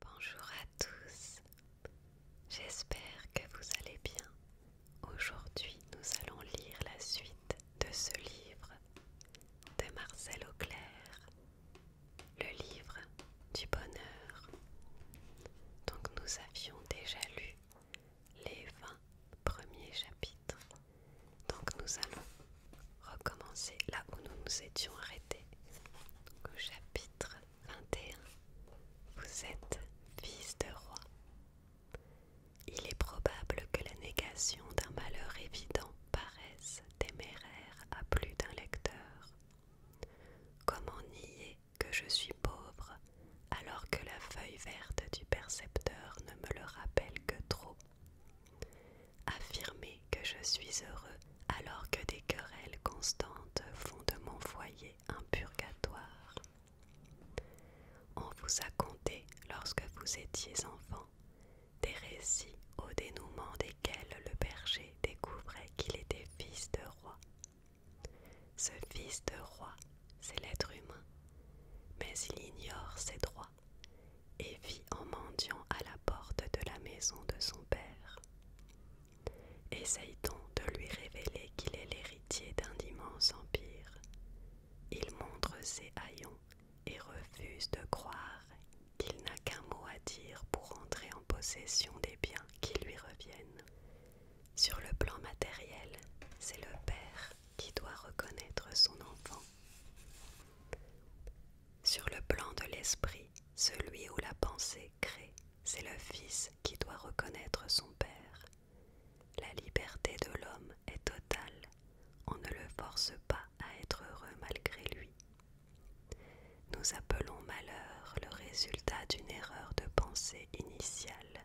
Bonjour à tous, j'espère que vous allez bien. Aujourd'hui nous allons lire la suite de ce livre de Marcel Auclair, le livre du bonheur. Donc nous avions déjà lu les 20 premiers chapitres. Donc nous allons recommencer là où nous nous étions arrêtés chapitre 21, vous êtes fils de roi. Il est probable que la négation d'un malheur évident paraisse téméraire à plus d'un lecteur. Comment nier que je suis pauvre alors que la feuille verte du percepteur ne me le rappelle que trop Affirmer que je suis heureux alors que des querelles constantes font de mon foyer un purgatoire. On vous a conté, lorsque vous étiez enfant, des récits au dénouement desquels le berger découvrait qu'il était fils de roi. Ce fils de roi, c'est l'être humain, mais il ignore ses droits et vit en mendiant à la porte de la maison de son père. Essaye on de lui révéler qu'il est l'héritier d'un immense empire. Il montre ses haillons et refuse de croire qu'il n'a qu'un mot à dire pour entrer en possession des biens qui lui reviennent. Sur le plan matériel, c'est le père qui doit reconnaître son enfant. Sur le plan de l'esprit, celui où la pensée crée, c'est le Fils qui doit reconnaître son Père. La liberté de l'homme est totale, on ne le force pas à être heureux malgré lui. Nous appelons malheur le résultat d'une erreur de pensée initiale,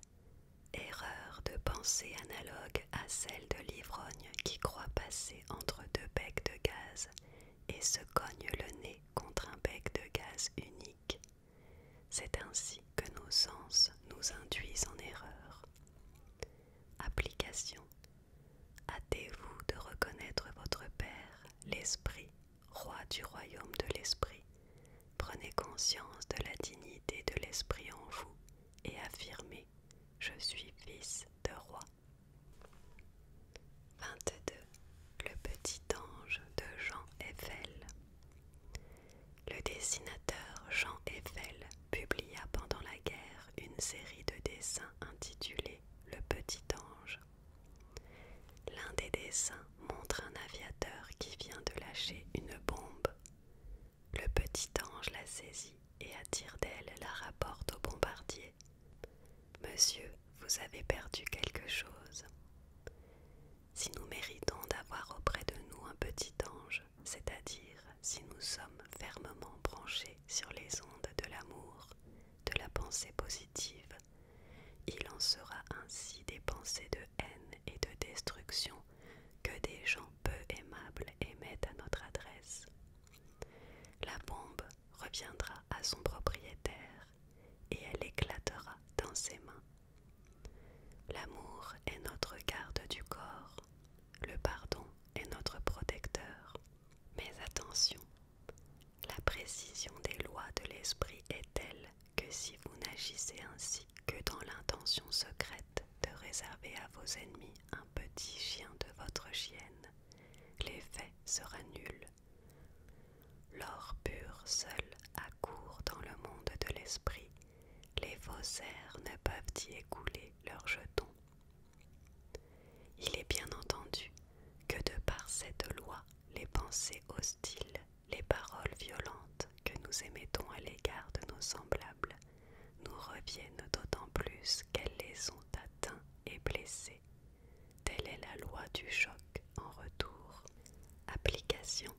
erreur de pensée analogue à celle de l'ivrogne qui croit passer entre deux becs de gaz et se cogne le nez contre un bec de gaz unique. C'est ainsi que nos sens nous induisent en erreur. Application. Hâtez-vous de reconnaître votre Père, l'Esprit, roi du royaume de l'Esprit. Prenez conscience de la dignité de l'Esprit en vous et affirmez ⁇ Je suis fils de roi ⁇ 22. Le petit ange de Jean Eiffel. Le dessinateur Jean Eiffel publia pendant la guerre une série de dessins intitulée Le petit ange. L'un des dessins montre un aviateur qui vient de lâcher une bombe. Le petit ange la saisit et à tire d'elle la rapporte au bombardier Monsieur, vous avez perdu quelque chose. Si nous méritons d'avoir auprès de nous un petit ange, c'est-à-dire si nous sommes fermement branchés sur les ondes de l'amour, de la pensée positive, il en sera ainsi des pensées de haine et de destruction que des gens peu aimables émettent à notre adresse. La bombe reviendra à son propriétaire et elle éclatera dans ses mains. L'amour est notre garde du corps, le pardon est notre protecteur. Mais attention, la précision des lois de l'esprit est telle que si vous n'agissez ainsi que dans l'intention secrète de réserver à vos ennemis un petit chien de votre chienne, l'effet sera nul. L'or pur seul accourt dans le monde de l'esprit, les airs ne peuvent y écouler leurs jetons. Il est bien entendu que de par cette loi, les pensées hostiles, les paroles violentes que nous émettons à l'égard de nos semblables, nous reviennent d'autant plus qu'elles les ont atteints et blessés Telle est la loi du choc en retour. Application.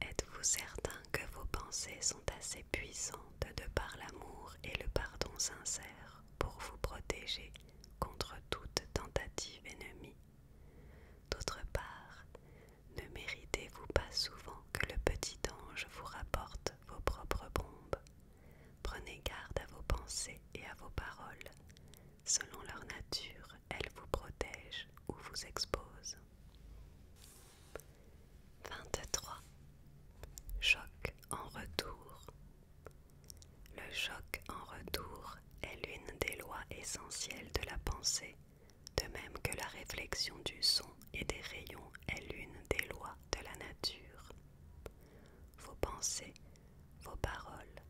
Êtes-vous certain que vos pensées sont assez puissantes de par l'amour et le pardon sincère pour vous protéger contre toute tentative ennemie D'autre part, ne méritez-vous pas souvent que le petit ange vous rapporte vos propres bombes Prenez garde à vos pensées et à vos paroles. Selon leur nature, elles vous protègent ou vous exposent. 23. Choc en retour. Le choc en retour est l'une des lois essentielles de la pensée, de même que la réflexion du son et des rayons est l'une des lois de la nature. Vos pensées, vos paroles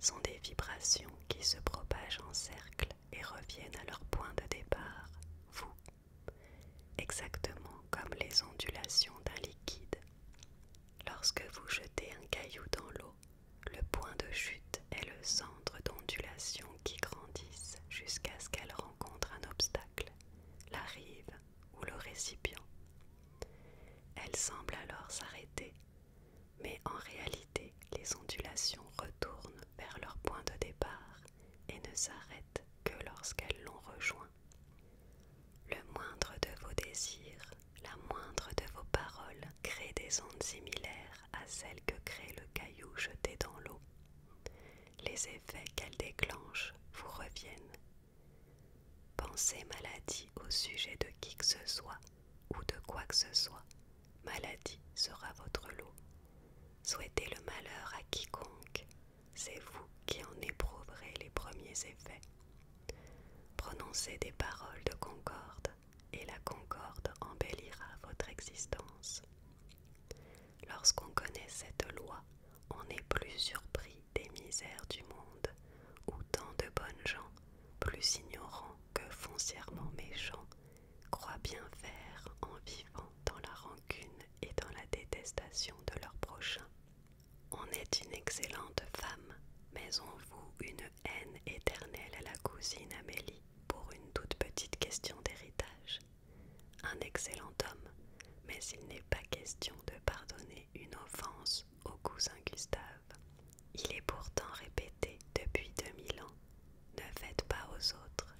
sont des vibrations qui se propagent en cercle et reviennent à leur point de départ, vous, exactement comme les ondulations d'un liquide. Lorsque vous jetez un caillou dans l'eau, le point de chute est le centre d'ondulations qui grandissent jusqu'à ce qu'elle rencontre un obstacle, la rive ou le récipient. Elle semble alors s'arrêter, mais en réalité les ondulations retournent vers leur point de départ et ne s'arrêtent que lorsqu'elles l'ont rejoint. Le moindre de vos désirs, la moindre de vos paroles crée des ondes similaires à celles que crée le caillou jeté dans l'eau. Les effets qu'elles déclenchent vous reviennent Pensez maladie au sujet de qui que ce soit ou de quoi que ce soit. Maladie sera votre lot. Souhaitez le malheur à quiconque. C'est vous qui en éprouverez les premiers effets. Prononcez des paroles de concorde et la concorde embellira votre existence. Lorsqu'on connaît cette loi, on n'est plus surpris des misères du monde, où tant de bonnes gens, plus ignorants que foncièrement méchants, croient bien faire en vivant dans la rancune et dans la détestation de leurs prochains. On est une excellente femme, mais on voue une haine éternelle à la cousine Amélie pour une toute petite question d'héritage un excellent homme, mais il n'est pas question de pardonner une offense au cousin Gustave. Il est pourtant répété depuis 2000 ans, ne faites pas aux autres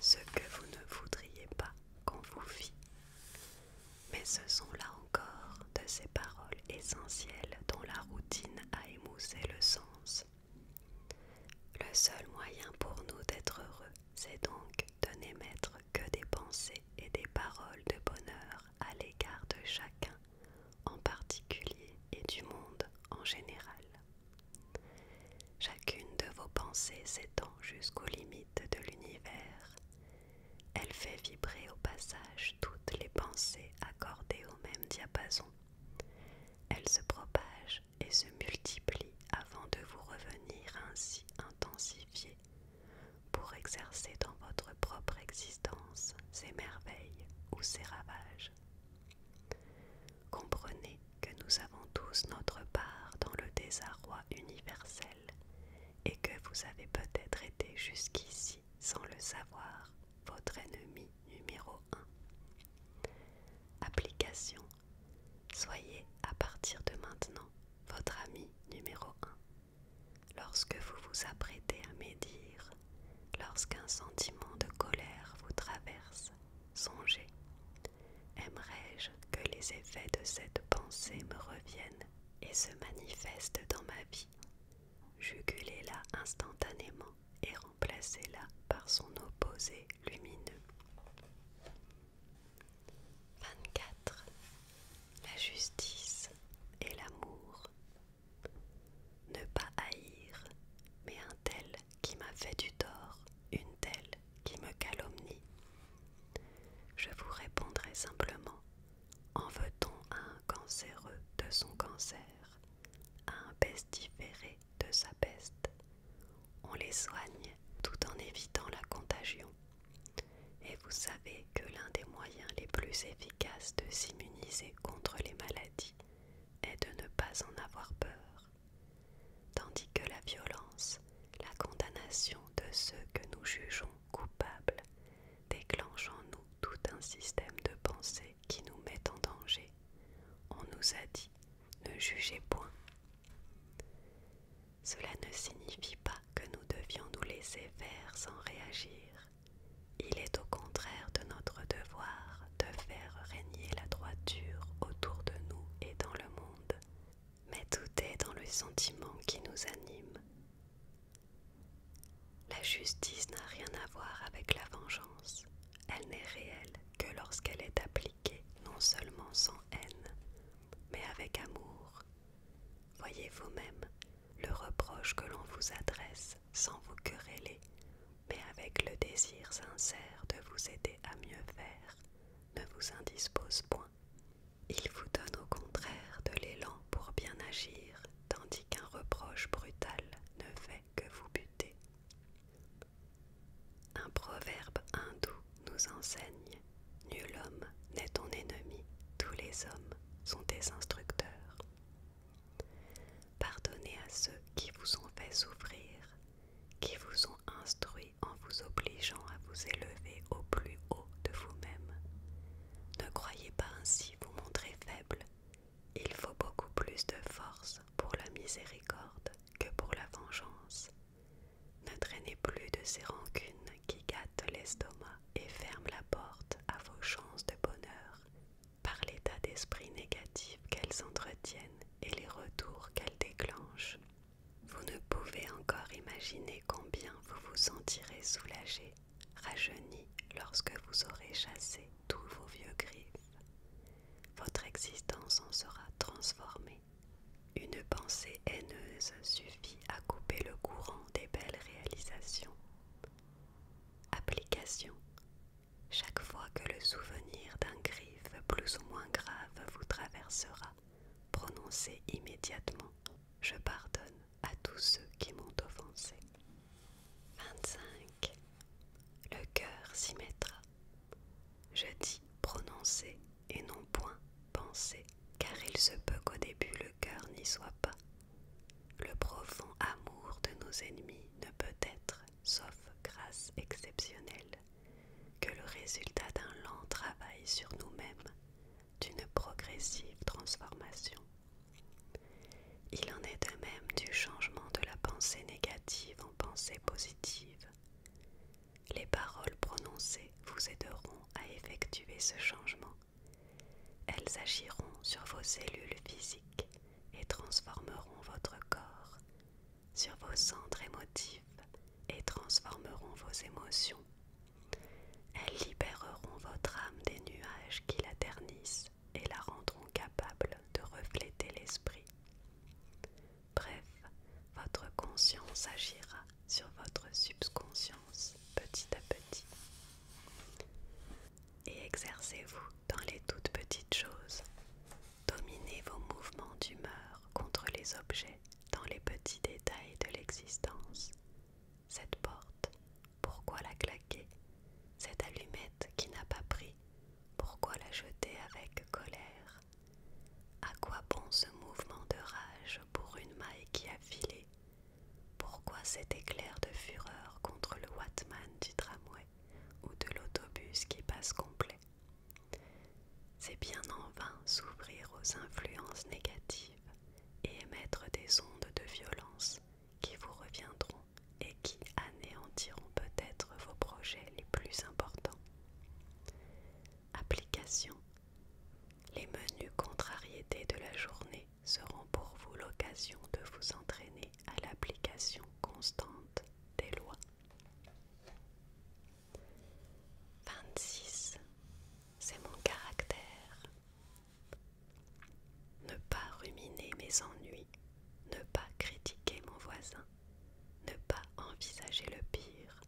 ce que vous ne voudriez pas qu'on vous fît. Mais ce sont là encore de ces paroles essentielles dont la routine a émoussé le sens. Le seul moyen pour nous d'être heureux c'est donc de n'émettre que des pensées et des paroles de bonheur à l'égard de chacun en particulier et du monde en général. Chacune de vos pensées s'étend jusqu'aux limites de l'univers. Elle fait vibrer au passage toutes les pensées accordées au même diapason. Elle se propage et se multiplie avant de vous revenir ainsi intensifiée pour exercer dans votre propre existence ses merveilles ou ses ravages. Comprenez que nous avons tous notre part dans le désarroi universel et que vous avez peut-être été jusqu'ici, sans le savoir, votre ennemi numéro 1. Application Soyez à partir de maintenant votre ami numéro 1. Lorsque vous vous apprêtez à médire, lorsqu'un sentiment de colère vous traverse, songez. Aimerais-je que les effets de cette pensée me reviennent et se manifestent dans ma vie Jugulez-la instantanément et remplacez-la par son opposé lumineux. 24. La justice et l'amour. Ne pas haïr, mais un tel qui m'a fait du tort, une telle qui me calomnie. Je vous répondrai simplement, en veut-on à un cancéreux de son cancer, à un pestiféré de sa peste On les soigne tout en évitant la contagion. Et vous savez que l'un des moyens les plus efficaces de s'immuniser contre les maladies est de ne pas en avoir peur, tandis que la violence, la condamnation de ceux que nous jugeons coupables, déclenchent en nous tout un système de pensée qui nous met en danger. On nous a dit ne jugez point. Cela ne signifie pas que nous devions nous laisser faire sans réagir. Il est au contraire de notre devoir de faire régner la droiture autour de nous et dans le monde. Mais tout est dans le sentiment qui nous anime. La justice n'a rien à voir avec la vengeance. Elle n'est réelle que lorsqu'elle est appliquée non seulement sans haine, mais avec amour. Voyez vous-même le reproche que l'on vous adresse sans vous quereller, mais avec le désir sincère de vous aider à mieux faire, ne vous indispose point. Il vous donne au contraire de l'élan pour bien agir, tandis qu'un reproche brutal ne fait que vous buter. Un proverbe hindou nous enseigne Nul homme n'est ton ennemi, tous les hommes sont tes instructeurs. Pardonnez à ceux qui vous ont fait souffrir, qui vous ont instruit en vous obligeant à vous élever au plus haut de vous-même. Ne croyez pas ainsi vous montrer faible, il faut beaucoup plus de force pour la miséricorde que pour la vengeance. Ne traînez plus de ces rancunes qui gâtent l'estomac et ferment la porte à vos chances de bonheur par l'état d'esprit négatif qu'elles entretiennent et les retours qu'elles déclenchent. Vous ne pouvez encore imaginer combien vous vous sentirez soulagé, rajeuni lorsque vous aurez chassé tous vos vieux griffes. Votre existence en sera transformée une pensée haineuse suffit à couper le courant des belles réalisations. Application. Chaque fois que le souvenir d'un griffe plus ou moins grave vous traversera, prononcez immédiatement ⁇ Je pardonne à tous ceux qui m'ont offensé ⁇ 25. Le cœur s'y mettra. Je dis prononcez et non point penser, car il se peut qu'au début le cœur n'y soit pas. Le profond amour de nos ennemis ne peut être, sauf grâce exceptionnelle, que le résultat d'un lent travail sur nous-mêmes, d'une progressive transformation. Il en est de même du changement de la pensée négative en pensée positive. Les paroles prononcées vous aideront à effectuer ce changement. Elles agiront sur vos cellules physiques et transformeront votre corps, sur vos centres émotifs et transformeront vos émotions. Elles libéreront votre âme des nuages qui la ternissent et la rendront capable de refléter l'esprit. Bref, votre conscience agira sur votre subconscience petit à petit. Et exercez-vous dans les toutes petites choses. Dominez vos mouvements d'humeur contre les objets dans les petits détails de l'existence. Cette porte, pourquoi la claquer Cette allumette qui n'a pas pris, pourquoi la jeter avec colère à quoi bon ce mouvement de rage pour une maille qui a filé Pourquoi cet éclair de fureur contre le Watman du tramway ou de l'autobus qui passe complet C'est bien en vain s'ouvrir aux influences négatives et émettre des ondes de violence qui vous reviendront et qui anéantiront peut-être vos projets les plus importants. Application. Les menus contrariétés de la journée seront pour vous l'occasion de vous entraîner à l'application constante des lois. 26. C'est mon caractère. Ne pas ruminer mes ennuis, ne pas critiquer mon voisin, ne pas envisager le pire.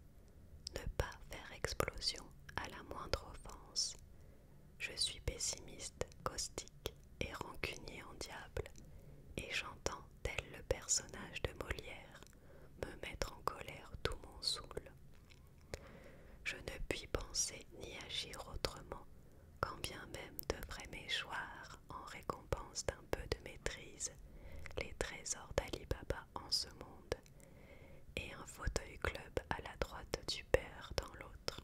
Ne pas faire explosion à la moindre offense. Je suis pessimiste, caustique et rancunier en diable, et j'entends, tel le personnage de Molière, me mettre en colère tout mon saoul. Je ne puis penser ni agir autrement, quand bien même devrait m'échoir en récompense d'un peu de maîtrise les trésors d'Ali Baba en ce monde, et un fauteuil club à la droite du père dans l'autre.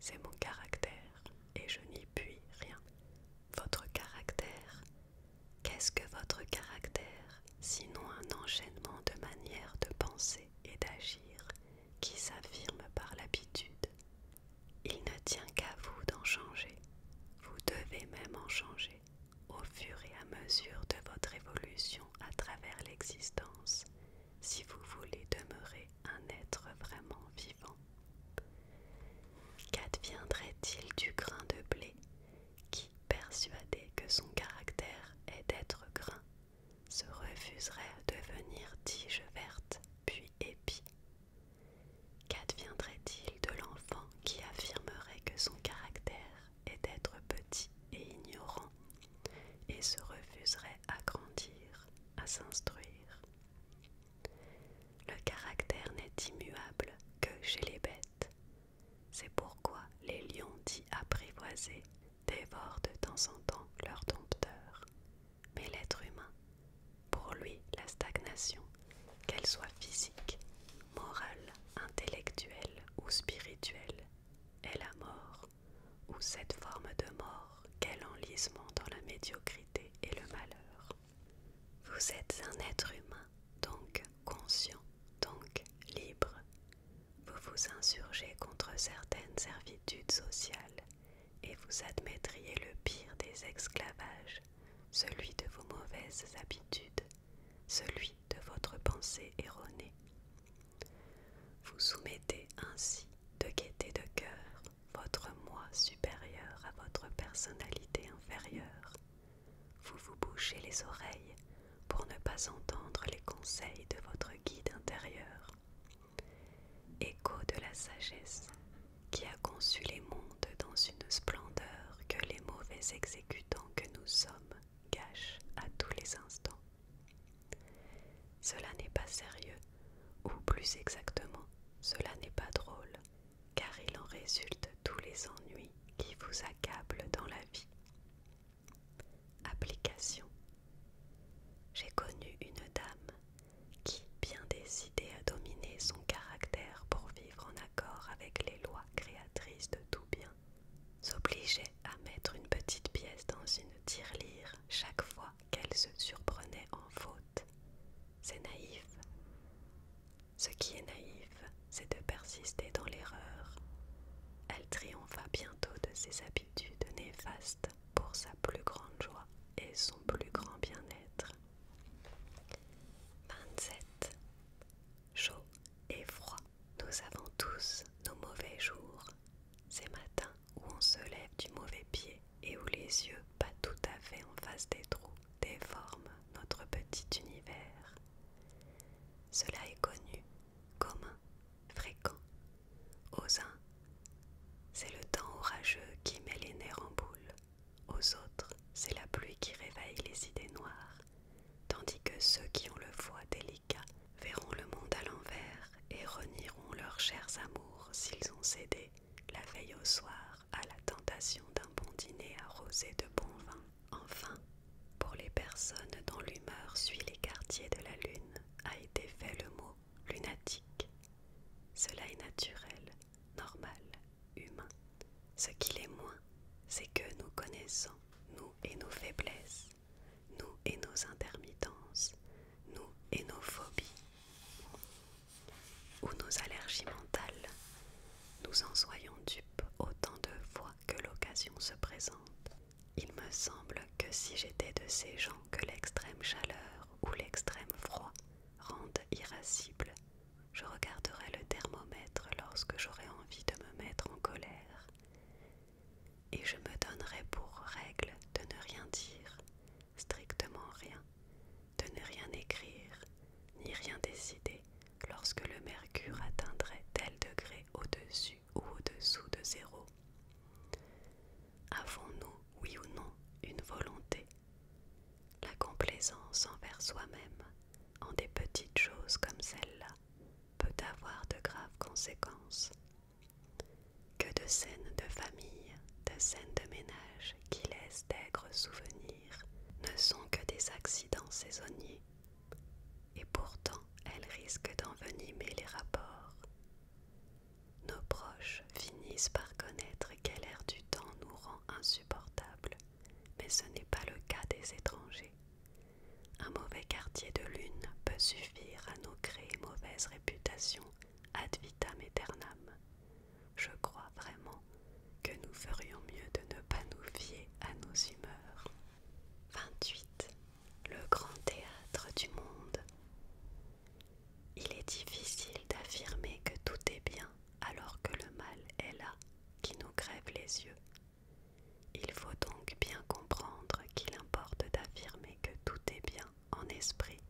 C'est mon caractère, et je n'y puis rien. Votre caractère Qu'est-ce que votre caractère, sinon un enchaînement de manières de penser et d'agir qui s'affirme par l'habitude Il ne tient qu'à vous d'en changer, vous devez même en changer au fur et à mesure de votre évolution à travers l'existence si vous voulez demeurer un être vraiment vivant. Qu'adviendrait-il du grain de blé qui, persuadé que son caractère est d'être grain, se refuserait à devenir tige verte, puis épi, Qu'adviendrait-il de l'enfant qui affirmerait que son caractère est d'être petit et ignorant et se refuserait à grandir, à s'instruire Le caractère n'est immuable que chez les bêtes. C'est pourquoi les lions dits apprivoisés dévorent de temps en temps leurs dompteurs. Mais l'être humain pour lui, la stagnation, qu'elle soit physique, morale, intellectuelle ou spirituelle, est la mort, ou cette forme de mort qu'est l'enlisement dans la médiocrité et le malheur. Vous êtes un être humain, donc conscient, donc libre. Vous vous insurgez contre certaines servitudes sociales et vous admettriez le pire des esclavages celui de vos mauvaises habitudes, celui de votre pensée erronée. Vous soumettez ainsi de gaieté de cœur votre moi supérieur à votre personnalité inférieure. Vous vous bouchez les oreilles pour ne pas entendre les conseils de votre guide intérieur. Écho de la sagesse, qui a conçu les mondes dans une splendeur que les mauvais exécutants que nous sommes gâchent à tous les instants. Cela n'est pas sérieux, ou plus exactement, cela n'est pas drôle, car il en résulte tous les ennuis qui vous accablent dans la vie. Application. J'ai connu une dame qui, bien décidée à dominer son caractère pour vivre en accord avec les lois créatrices de tout bien, s'obligeait à mettre une petite pièce dans une tirelire chaque fois qu'elle se surprenait en faute. C'est naïf. Ce qui est naïf, c'est de persister dans l'erreur. Elle triompha bientôt de ses habitudes néfastes pour sa plus grande joie et son plus grand bien-être. 27. Chaud et froid. Nous avons tous nos mauvais jours, ces matins où on se lève du mauvais pied et où les yeux pas tout à fait en face des trous déforment notre petit univers. Cela est connu, commun, fréquent. Aux uns, c'est le temps orageux qui met les nerfs en boule. Aux autres, c'est la pluie qui réveille les idées noires, tandis que ceux qui ont le foie délicat verront le monde à l'envers et renieront leurs chers amours s'ils ont cédé, la veille au soir, à la tentation d'un bon dîner arrosé de bon vin. Enfin, pour les personnes dont l'humeur suit les quartiers de la lune, a été fait le mot lunatique. Cela est naturel, normal, humain. Ce qu'il est moins, c'est que nous connaissons, nous et nos faiblesses, nous et nos intermittences, nous et nos phobies, ou nos allergies mentales. Nous en soyons dupes autant de fois que l'occasion se présente. Il me semble que si j'étais de ces gens que l'extrême chaleur ou l'extrême froid rende irascible, je regarderai le thermomètre lorsque j'aurai envie de me mettre en colère, et je me donnerai pour règle de ne rien dire, strictement rien, de ne rien écrire, ni rien décider lorsque le mercure atteindrait tel degré au-dessus ou au-dessous de zéro. Avons-nous, oui ou non, une volonté la complaisance envers soi-même en des petites choses comme celle-là peut avoir de graves conséquences. Que de scènes de famille, de scènes de ménage qui laissent d'aigres souvenirs ne sont que des accidents saisonniers, et pourtant elles risquent d'envenimer les rapports nos proches finissent par connaître quel air du temps nous rend insupportables, mais ce n'est pas le cas des étrangers. Un mauvais quartier de lune peut suffire à nous créer mauvaise réputation ad vitam aeternam. Je crois vraiment que nous ferions mieux de ne pas nous fier à nos humeurs. 28. Le grand théâtre du monde. Il est difficile d'affirmer que tout est bien alors que le mal est là, qui nous grève les yeux. Il faut donc bien comprendre qu'il importe d'affirmer que tout est bien en esprit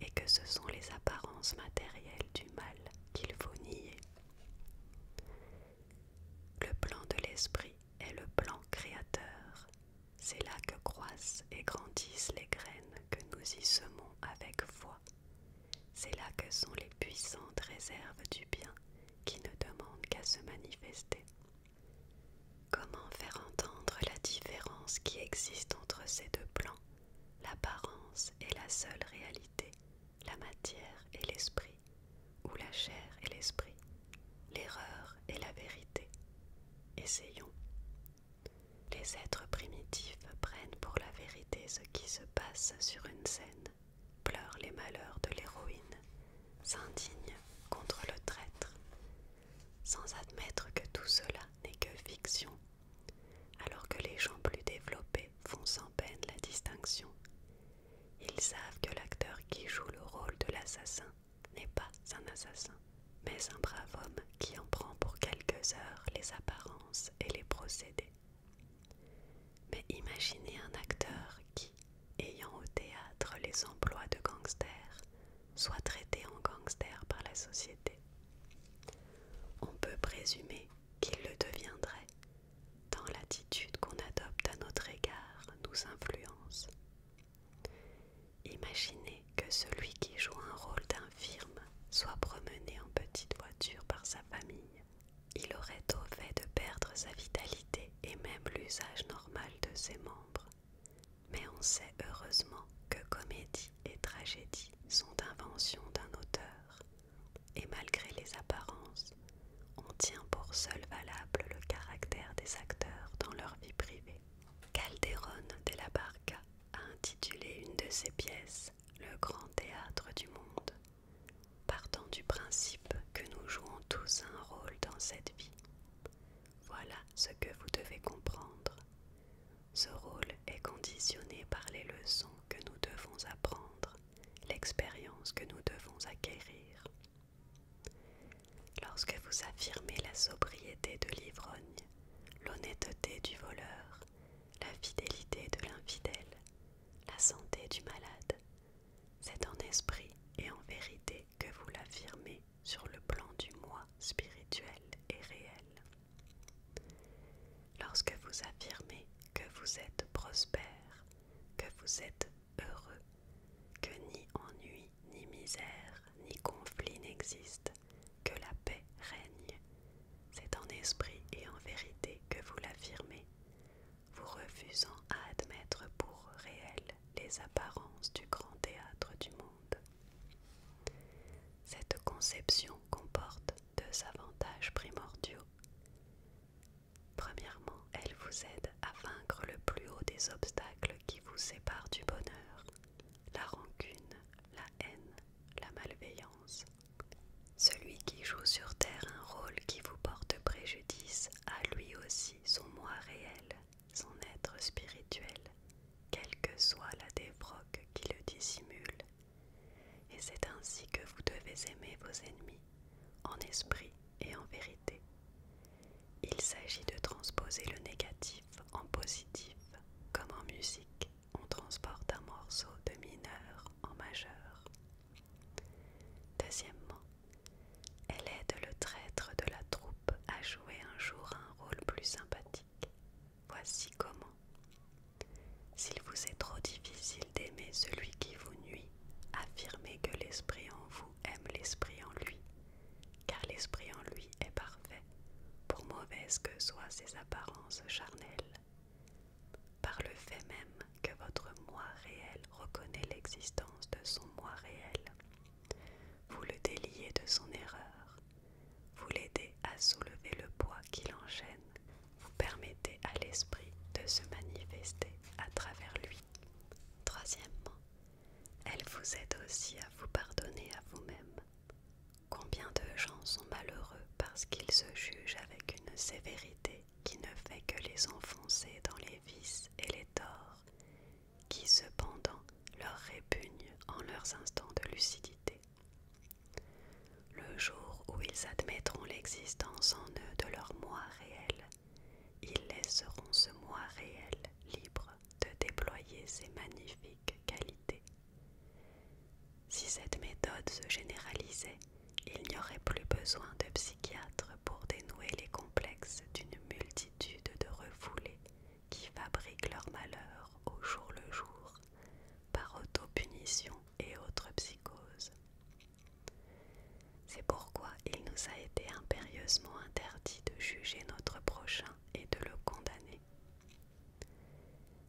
et que ce sont les apparences matérielles du mal qu'il faut nier. Le plan de l'esprit est le plan créateur. C'est là que croissent et grandissent les graines que nous y semons avec foi. C'est là que sont les puissantes réserves du bien qui ne demandent qu'à se manifester. Comment faire entendre la différence qui existe entre ces deux plans, l'apparence et la seule réalité, la matière et l'esprit, ou la chair et l'esprit, l'erreur et la vérité Essayons. Les êtres primitifs prennent pour la vérité ce qui se passe sur une scène, pleurent les malheurs de l'héroïne, s'indignent contre le traître, sans admettre que tout cela n'est que fiction, alors que les gens plus développés font sans peine la distinction. Ils savent que l'acteur qui joue le rôle de l'assassin n'est pas un assassin mais un brave homme qui en prend pour quelques heures les apparences et les procédés. Mais imaginez un acteur qui, ayant au théâtre les emplois de gangster, soit traité en gangster par la société. On peut présumer qu'il le deviendrait, tant l'attitude qu'on adopte à notre égard nous influence. Imaginez que celui qui joue un rôle d'infirme soit promené en petite voiture par sa famille. Il aurait au fait de perdre sa vitalité et même l'usage normal de ses membres. Mais on sait heureusement que comédie et tragédie sont inventions d'un auteur. Et malgré les apparences, on tient pour seul valable le caractère des acteurs dans leur vie privée. Calderon de la Barca a intitulé une de ses pièces Le grand théâtre du monde, partant du principe que nous jouons tous un rôle dans cette vie. Voilà ce que vous devez comprendre. Ce rôle est conditionné par les leçons que nous devons apprendre, l'expérience que nous devons acquérir. Lorsque vous affirmez la sobriété de l'ivrogne, l'honnêteté du voleur, la fidélité de l'infidèle, la santé du malade. C'est en esprit et en vérité que vous l'affirmez sur le plan du moi spirituel et réel. Lorsque vous affirmez que vous êtes prospère, que vous êtes heureux, que ni ennui, ni misère, ni conflit n'existent, que la paix règne. C'est en esprit et en vérité que vous l'affirmez, vous refusant à admettre pour réel les apparences du grand théâtre du monde. Cette conception comporte deux avantages primordiaux. Premièrement, elle vous aide à vaincre le plus haut des obstacles qui vous séparent du bonheur la rancune, la haine, la malveillance. Celui qui joue sur terre un rôle qui vous porte préjudice a lui aussi son moi réel, son être spirituel, quelle que soit la défroque qui le dissimule. Et c'est ainsi que vous devez aimer vos ennemis, en esprit et en vérité. Il s'agit de transposer le négatif en positif, comme en musique, on transporte un morceau de mineur en majeur. Deuxièmement, elle aide le traître de la troupe à jouer un jour un rôle plus sympathique. Voici comment. S'il vous est trop difficile d'aimer celui qui vous nuit, affirmez que l'esprit en vous aime l'esprit en lui car l'esprit en lui est parfait, pour mauvaise que soient ses apparences charnelles. Par le fait même que votre moi réel reconnaît l'existence de son moi réel, vous le déliez de son erreur, vous l'aidez à soulever le poids qui l'enchaîne, vous permettez à l'esprit de se manifester à travers lui. Troisièmement, elle vous aide aussi à vous pardonner à vous-même. Combien de gens sont malheureux parce qu'ils se jugent avec une sévérité qui ne fait que les enfoncer dans les vices et les torts, qui cependant leur répugnent en leurs instants de lucidité. Le jour où ils admettront l'existence en eux de leur moi réel, ils laisseront ce moi réel libre de déployer ses magnifiques qualités. Si cette méthode se généralisait, il n'y aurait plus besoin de psychiatres pour dénouer les complexes d'une multitude de refoulés qui fabriquent leur malheur au jour le jour par autopunition et autres psychoses. C'est pourquoi il nous a été impérieusement interdit de juger notre prochain et de le condamner.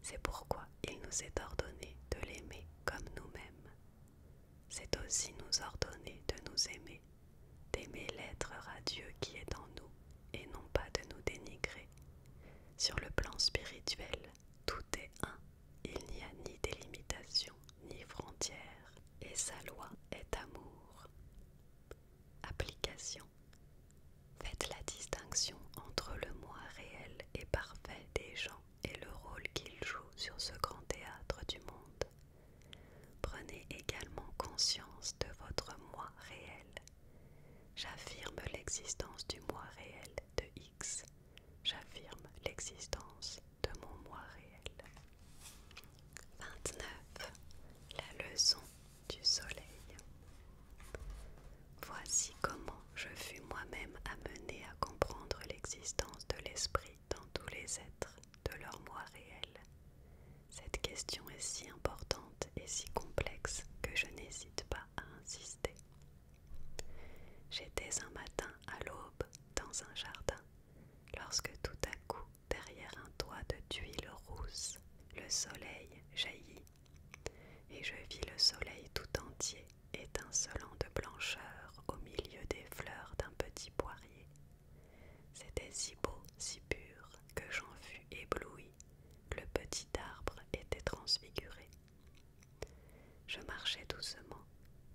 C'est pourquoi il nous est ordonné de l'aimer comme nous-mêmes. C'est aussi nous ordonner de nous aimer, d'aimer l'être radieux qui est en nous et non pas de nous dénigrer. Sur le plan spirituel, tout est un, il n'y a ni délimitation ni frontière, et sa loi est amour. Application Faites la distinction entre le moi réel et parfait des gens et le rôle qu'ils jouent sur ce grand théâtre du monde. Prenez également conscience de votre moi réel. J'affirme l'existence du moi réel de X. J'affirme l'existence de mon moi réel. 29. La leçon du soleil. Voici comment je fus moi-même amené à comprendre l'existence de l'esprit dans tous les êtres de leur moi réel. Cette question est si importante et si complexe que je n'hésite pas à insister. J'étais un matin à l'aube dans un jardin lorsque tout à coup derrière un toit de tuiles rousses, le soleil jaillit, et je vis le soleil tout entier étincelant de blancheur au milieu des fleurs d'un petit poirier. C'était si beau, si pur, que j'en fus ébloui. Le petit arbre était transfiguré. Je marchais doucement,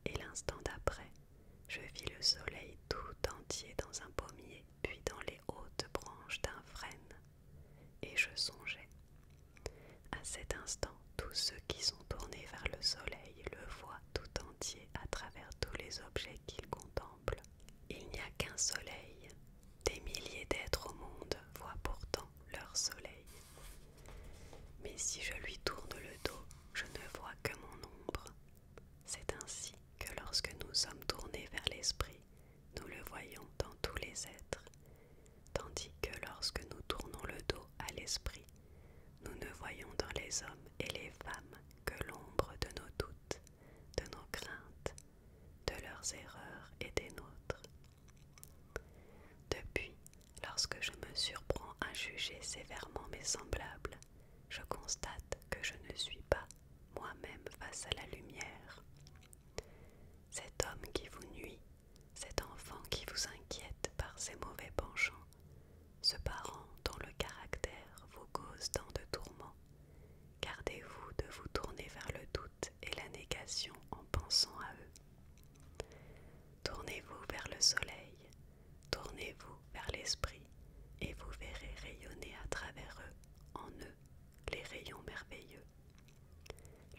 et l'instant d'après, je vis le soleil tout entier dans un pommier, puis dans les hautes branches d'un frêne, et je songeais. À cet instant, tous ceux qui sont tournés vers le soleil le voient tout entier à travers tous les objets qu'ils contemplent. Il n'y a qu'un soleil. Des milliers d'êtres au monde voient pourtant leur soleil. Mais si je lui tourne le dos, je ne vois que mon ombre. C'est ainsi que lorsque nous sommes tournés vers l'esprit, nous le voyons dans tous les êtres, tandis que lorsque nous tournons le dos à l'esprit, nous ne voyons dans les hommes et les femmes que l'ombre de nos doutes, de nos craintes, de leurs erreurs et des nôtres. Depuis, lorsque je me surprends à juger sévèrement mes semblables, je constate que je ne suis pas moi-même face à la lumière. Cet homme qui vous nuit, cet enfant qui vous inquiète par ses mauvais penchants, ce parent dont le caractère vous cause tant de tourments, gardez-vous de vous tourner vers le doute et la négation en pensant à eux. Tournez-vous vers le soleil, tournez-vous vers l'esprit et vous verrez rayonner à travers eux, en eux, les rayons merveilleux.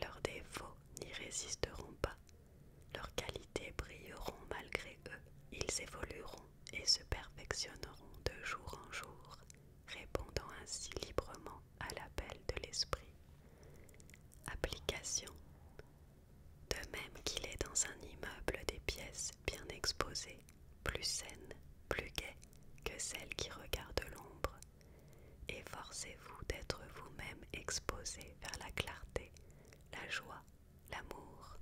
Leurs défauts n'y résisteront pas, leurs qualités brilleront malgré eux, ils évolueront et se perfectionneront de jour en jour, répondant ainsi librement à l'appel de l'esprit. Application. De même qu'il est dans un immeuble des pièces bien exposées plus saine, plus gaie que celle qui regarde l'ombre. Efforcez-vous d'être vous-même exposé vers la clarté, la joie, l'amour.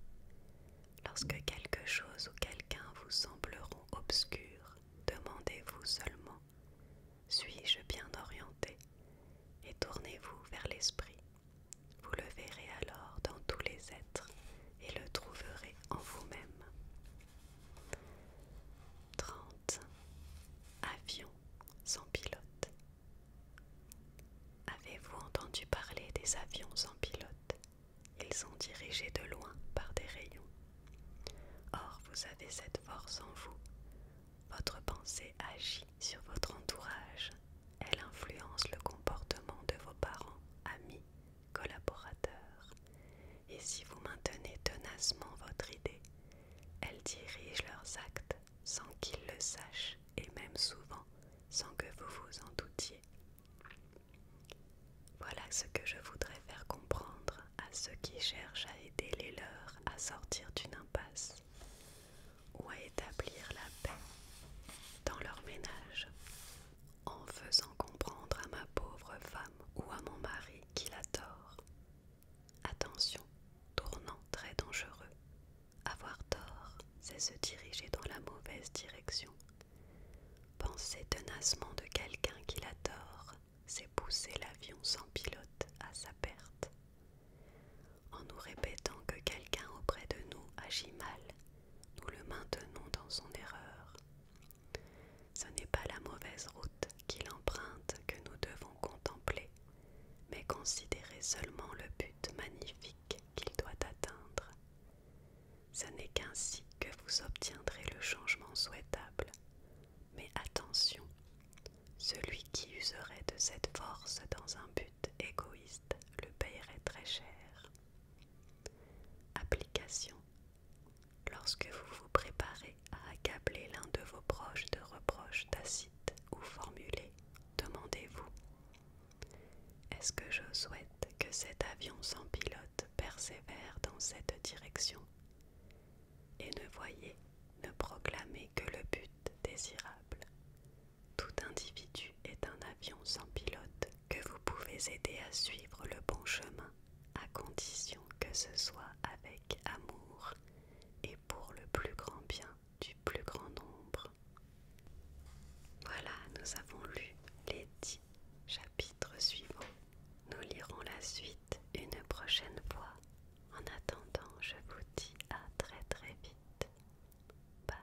Lorsque quelque chose ou quelqu'un vous sembleront obscurs, demandez-vous seulement Suis-je bien orienté Et tournez-vous vers l'esprit. Vous le verrez alors dans tous les êtres et le trouverez en vous-même. 30. Avions sans pilote. Avez-vous entendu parler des avions sans pilote Ils sont dirigés de loin par des rayons. Or, vous avez cette force en vous. Votre pensée agit sur votre entourage. Elle influence le comportement de vos parents, amis, collaborateurs. Et si vous maintenez tenacement votre idée, elles dirigent leurs actes sans qu'ils le sachent et même souvent sans que vous vous en doutiez. Voilà ce que je voudrais faire comprendre à ceux qui cherchent à aider les leurs à sortir d'une impasse ou à établir la paix dans leur ménage en faisant comprendre à ma pauvre femme ou à mon mari qu'il a tort. Attention, tournant très dangereux. Avoir tort, c'est se diriger dans la mauvaise direction. Penser tenacement de quelqu'un qui a tort, c'est pousser l'avion sans pilote à sa perte. En nous répétant que quelqu'un auprès de nous agit mal, nous le maintenons dans son erreur. Ce n'est pas la mauvaise route qu'il emprunte que nous devons contempler, mais considérez seulement le but magnifique qu'il doit atteindre. Ce n'est qu'ainsi que vous obtiendrez le changement souhaitable. Mais attention, celui qui userait de cette force dans un but égoïste le paierait très cher. Application. Lorsque vous vous préparez à accabler l'un de vos proches de reproches tacites ou formulés, demandez-vous Est-ce que je souhaite que cet avion sans pilote persévère dans cette direction Et ne voyez, ne proclamez que le but désirable. Tout individu est un avion sans pilote que vous pouvez aider à suivre le bon chemin, à condition que ce soit avec amour et pour le plus grand bien du plus grand nombre. Voilà, nous avons lu les dix chapitres suivants. Nous lirons la suite une prochaine fois. En attendant, je vous dis à très très vite. Bye.